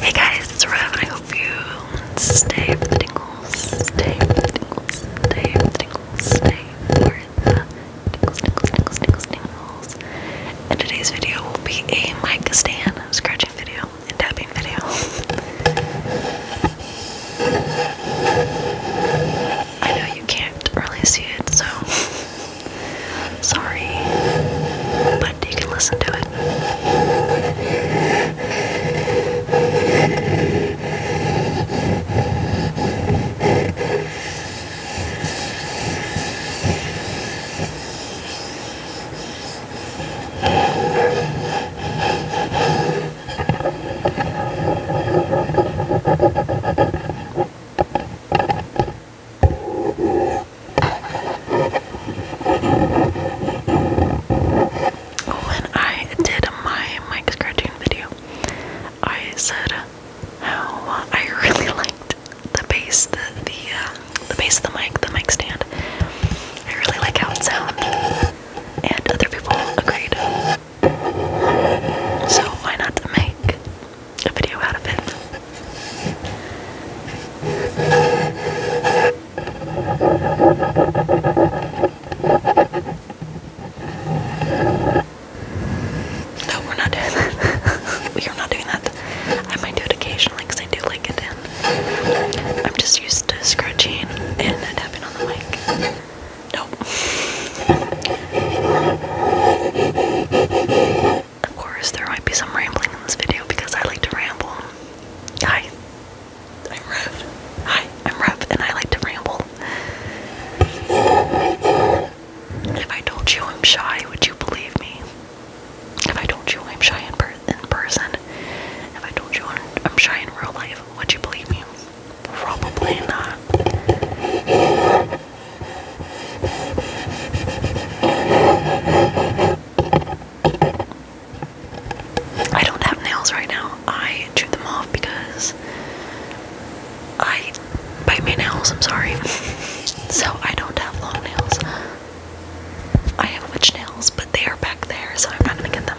Hey guys, it's Rev, and I hope you stay for stay for stay for stay for the tingles, tingles, tingles, tingles, tingles. And today's video will be a mic stand scratching video and tapping video. I know you can't really see it, so Sorry, but you can listen to it. When I did my mic scratching video, I said how I really liked the base, the the uh, the the mic, the mic stand. I really like how it sounds, and other people agreed. So why not make a video out of it. No, we're not doing that. we are not doing that. I might do it occasionally because I do like it in. I'm just used to scratching and it on the mic. Nope. Of course, there might be some rambling in this video because I like to ramble. Hi, I'm Rev. Hi, I'm Rev, and I like to ramble. If I told you I'm shy, would you believe me? If I told you I'm shy in, person, if I told you I'm shy in real life, would you believe me? Probably not. I don't have nails right now. I chewed them off because I bite my nails, I'm sorry. so I don't have long nails. I have witch nails, but they are back there, so I'm not gonna get them.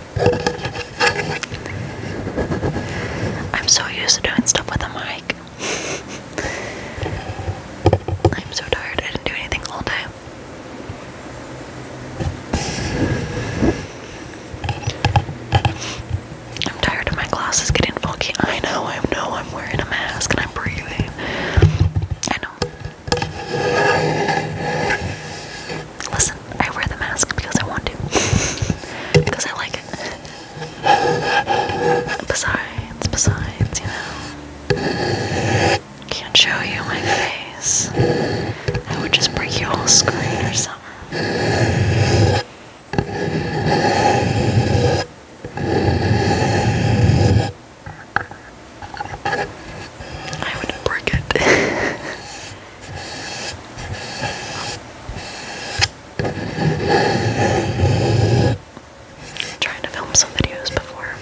I'm so used to doing stuff with a mic. I'm so tired, I didn't do anything all day. I'm tired of my glasses getting funky. I know, I know, I'm wearing a mask and I'm breathing. I know. Listen, I wear the mask because I want to. because I like it. Besides, besides, you know. Can't show you my face. I would just break your whole screen or something. I would break it. trying to film some videos before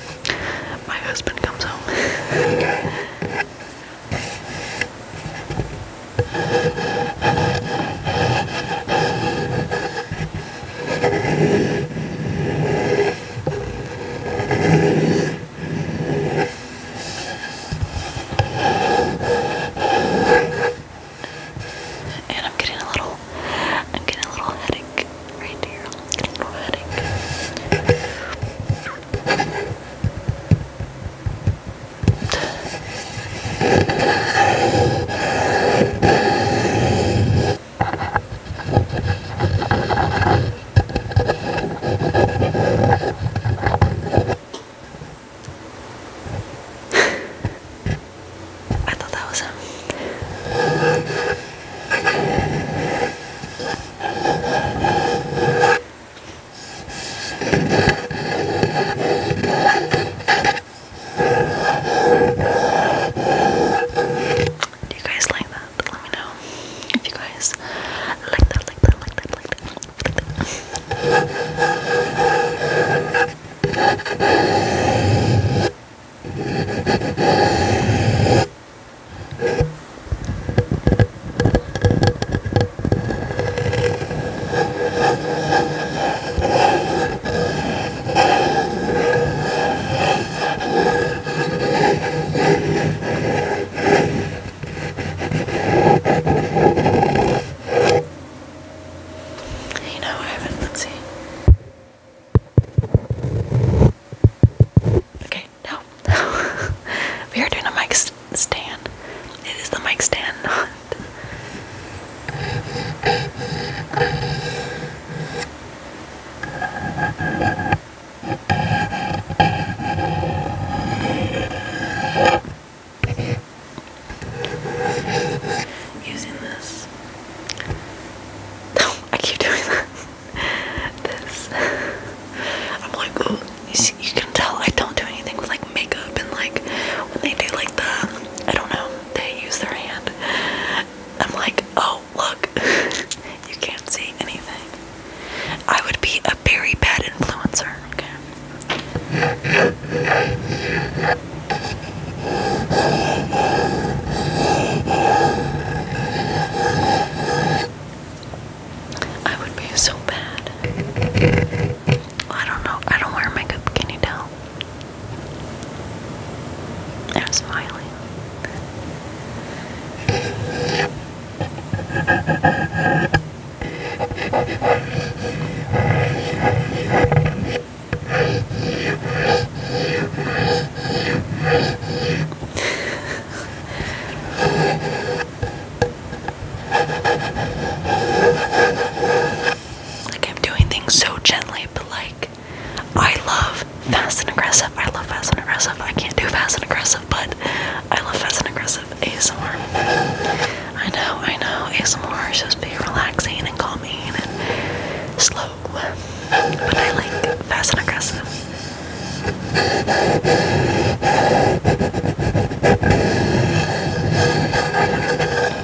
my husband comes home. And I'm getting a little, I'm getting a little headache right here. I'm getting a little headache. I thought that was him. Do you guys like that? Let me know if you guys like that, like that, like that, like that. You know, I haven't. Let's see. Okay, no. we are doing a mic stand. It is the mic stand, not. Using this. No, I keep doing that. This. I'm like, oh, you can tell I don't do anything with like makeup and like when they do like the, I don't know, they use their hand. I'm like, oh, look, you can't see anything. I would be a very bad influencer, okay? I would be so bad. I don't know. I don't wear makeup. Can you tell? That's fine. like I'm doing things so gently, but like I love fast and aggressive. I love fast and aggressive. I can't do fast and aggressive, but I love fast and aggressive ASMR. I know, I know. ASMR is supposed to be relaxing and calming and slow, but I like fast and aggressive.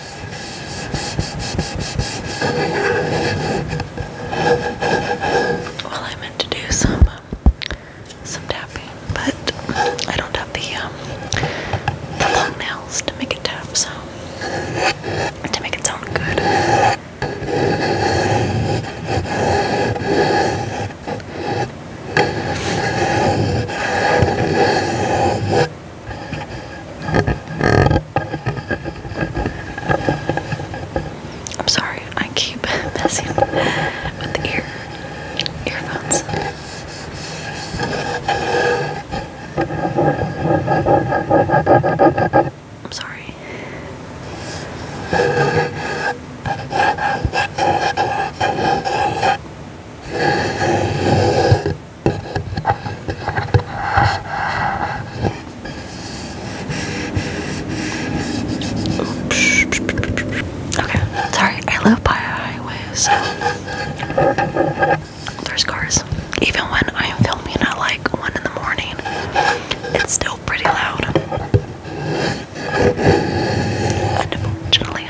Well, I meant to do some um, some tapping, but I don't have the um the long nails to make it tap, so to make it sound good. I'm sorry, I keep messing with the ear earphones. I'm sorry. Okay, sorry, I live by a highway, so there's cars. Even when I am filming at like 1 in the morning, it's still pretty loud. Unfortunately,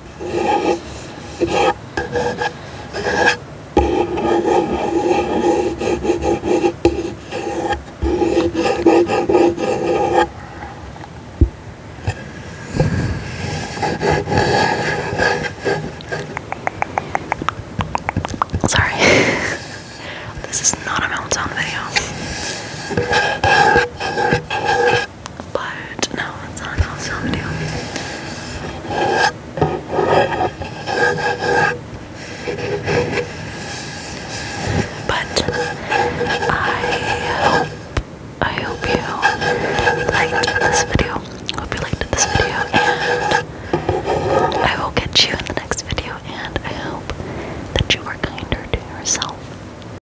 Sorry, this is not a meltdown video. But no, it's not how some But I hope I hope you liked this video. Hope you liked this video and I will catch you in the next video and I hope that you are kinder to yourself.